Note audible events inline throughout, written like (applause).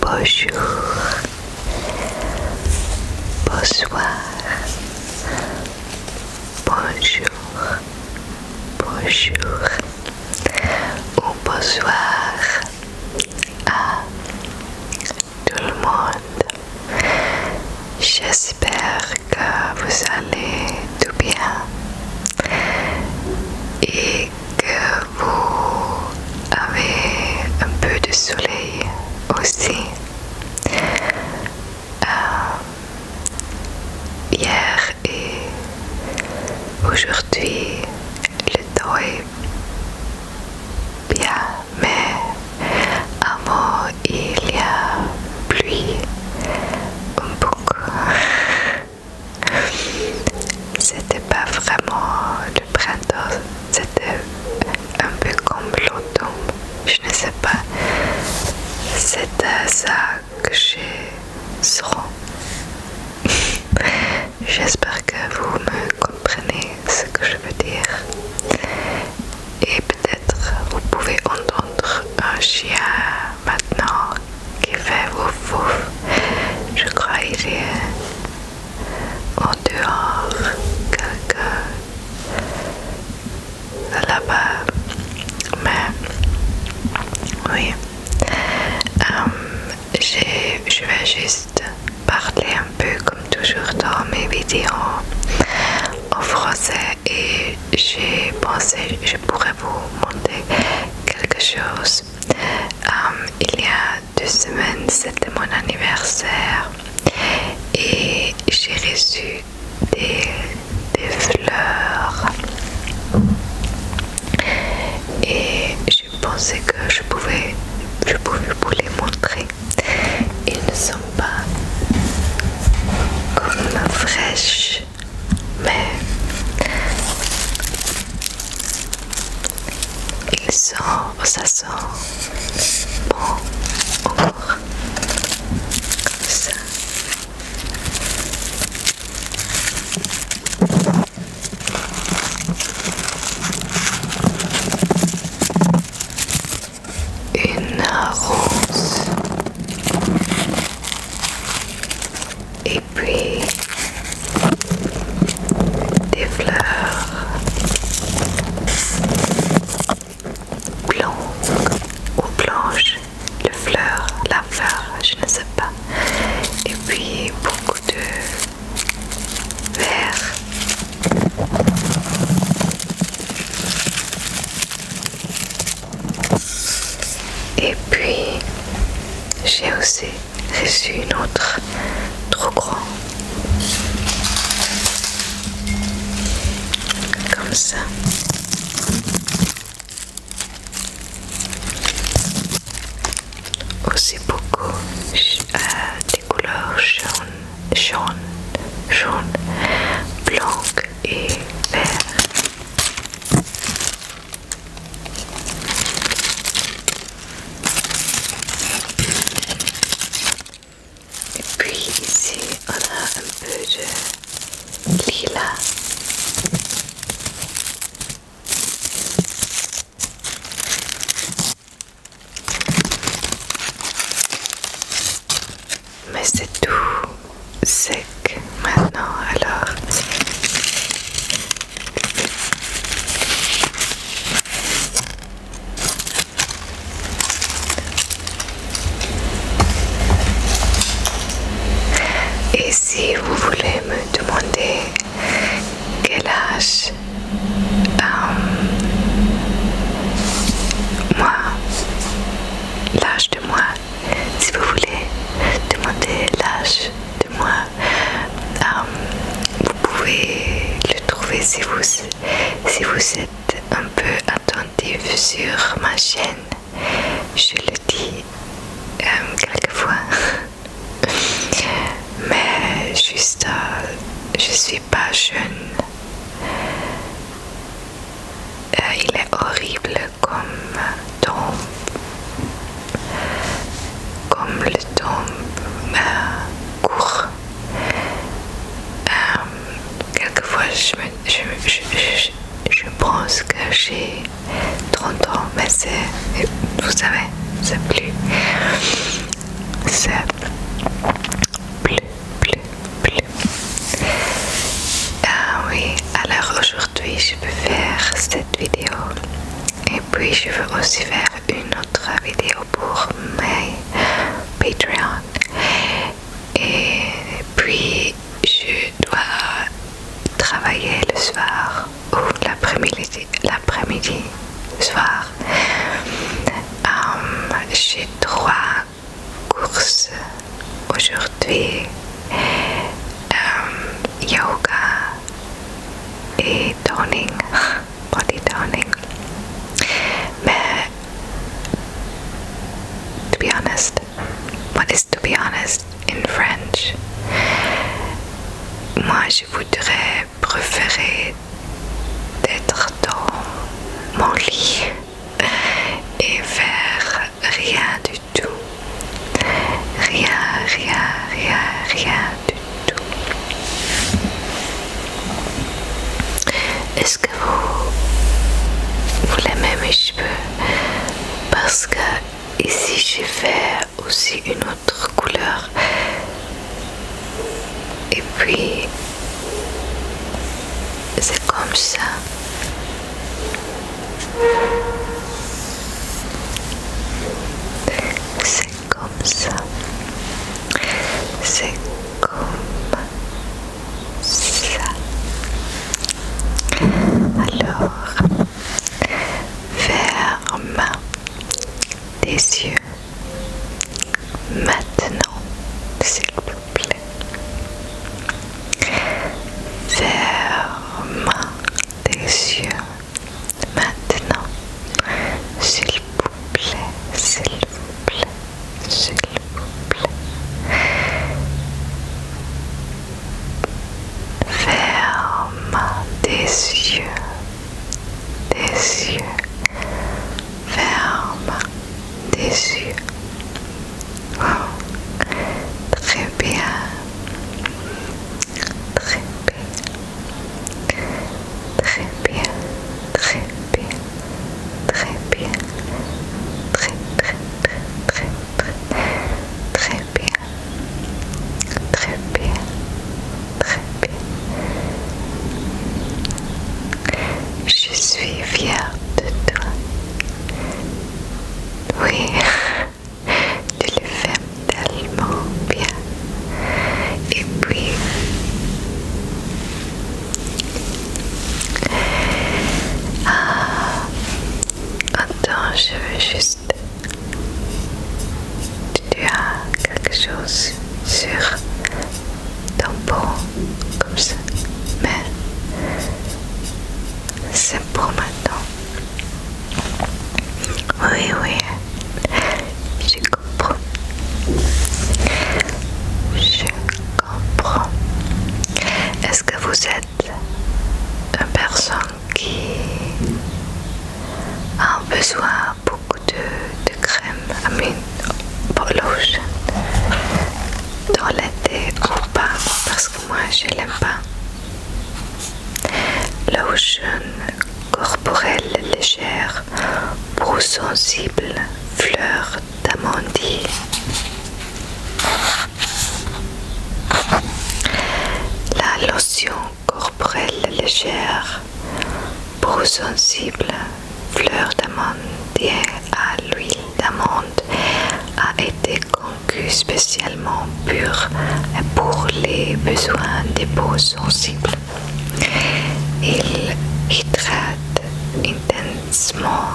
Bonjour, bonsoir, bonjour, bonjour ou bonsoir à tout le monde. J'espère que vous allez tout bien et que vous avez un peu de soleil aussi. Euh, hier et aujourd'hui, le temps est bien, mais avant il y a pluie un beaucoup. C'était pas vraiment le printemps, c'était un peu comme l'automne, je ne sais pas. C'est ça que j'ai (laughs) J'espère que vous me comprenez ce que je veux dire. Et peut-être vous pouvez entendre un chien maintenant qui fait ouf ouf. Je crois qu'il est en dehors, quelque là-bas. Mais oui, euh, je vais juste parler un peu comme toujours dans mes vidéos en français et j'ai pensé je pourrais vous montrer quelque chose euh, il y a deux semaines, c'était mon anniversaire et j'ai reçu des, des fleurs. Et je pensais que je pouvais, je pouvais vous les montrer. Ils ne sont pas comme fraîches, mais il sent, oh, ça sent Bon, encore. Comme ça. Une rose. Et et puis des fleurs blanches ou blanches, le fleur, la fleur, je ne sais pas, et puis beaucoup de verre. Et puis j'ai aussi c'est une autre trop grand comme ça aussi oh, beaucoup ah, des couleurs jaune jaune jaune blanc et vert et puis ici, on a un peu de lilas. Mais c'est tout sec. Maintenant, alors. Et si vous voulez me demander quel âge euh, moi, l'âge de moi, si vous voulez demander l'âge de moi, euh, um, vous pouvez le trouver si vous, si vous êtes un peu attentif sur ma chaîne. Je le dis euh, quelques fois (laughs) mais juste, je euh, je suis pas jeune. il est horrible comme comme le temps court. Euh, quelquefois, je, je, pense que j'ai 30 ans, mais c'est, vous savez, ça plus, c'est plus, plus, plus. Ah oui, alors aujourd'hui, je peux faire vidéo et puis je veux aussi faire une autre vidéo pour mes Patreon et puis je dois travailler le soir ou l'après-midi l'après-midi soir euh, j'ai trois courses aujourd'hui aujourd'hui um, yoga et toning, (laughs) body toning. Mais, to be honest, what is to be honest in French? Moi, je voudrais préférer d'être dans mon lit et faire rien du tout. Rien, rien, rien, rien du tout. Est-ce que vous voulez même mes cheveux Parce que ici j'ai fait aussi une autre couleur. Et puis c'est comme ça. C'est comme ça. C'est comme ça. Alors, ferme des yeux maintenant, s'il vous plaît. Ferme des yeux. Maintenant, s'il vous plaît, s'il vous plaît, s'il vous plaît. Ferme des yeux, des yeux. Ferme des yeux. très bien. Très bien. Très bien. Très bien. Très bien. Très très très très très bien. Très bien. Très bien. Je suis fière de toi. Oui. (laughs) Tu le fais tellement bien. Et puis, ah, attends, je veux juste. Tu as quelque chose sur ton pont, comme ça, mais c'est pour maintenant. Oui, oui, je comprends. Je comprends. Est-ce que vous êtes une personne qui a besoin beaucoup de, crème amine pour lotion dans l'été ou pas Parce que moi, je l'aime pas. La corporelle légère, pour sensible, fleur d'amandier. La lotion corporelle légère, pour sensible, fleur d'amandier à l'huile d'amande a été Concuit spécialement pur pour les besoins des peaux sensibles. Il hydrate intensément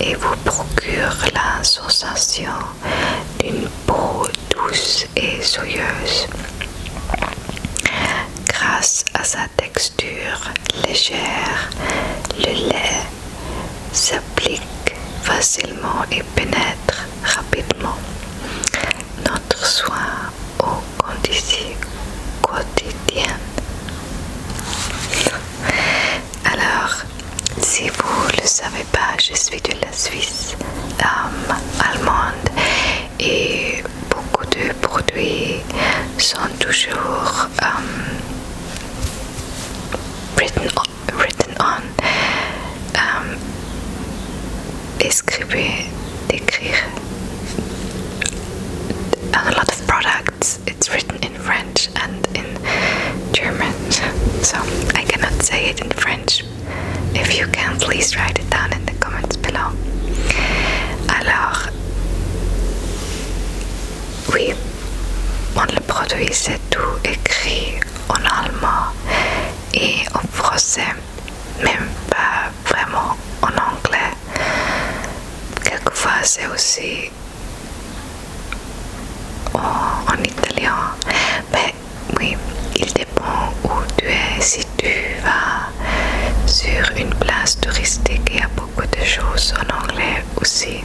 et vous procure la sensation d'une peau douce et soyeuse. Grâce à sa texture légère, le lait s'applique facilement et pénètre rapidement notre soin au conditions quotidiennes. Alors, si vous ne le savez pas, je suis de la Suisse allemande et beaucoup de produits sont toujours euh, written written on um, Escribe, a lot of products it's written in French and in German so I cannot say it in French if you can please write it down in the comments below alors oui on le produit c'est tout écrit en allemand et en français, même pas vraiment en anglais. Quelquefois c'est aussi en, italien. Mais oui, il dépend où tu es. Si tu vas sur une place touristique, il y a beaucoup de choses en anglais aussi.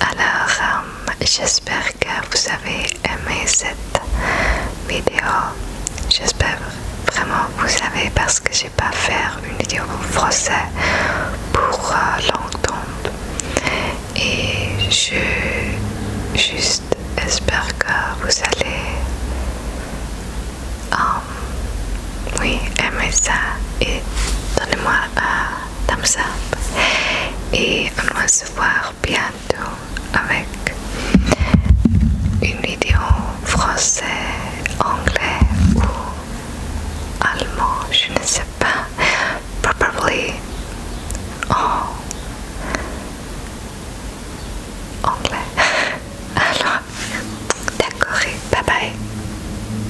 Alors, euh, j'espère que vous avez aimé cette vidéo. J'espère vraiment vous savez parce que j'ai pas fait une vidéo en français pour euh, longtemps Et je juste espère que vous allez euh, oui, aimer ça et donnez-moi la barre thumbs up et on va se voir bientôt avec une vidéo français, anglais ou allemand, je ne sais pas, probably en anglais. (laughs) Alors, d'accord, bye bye.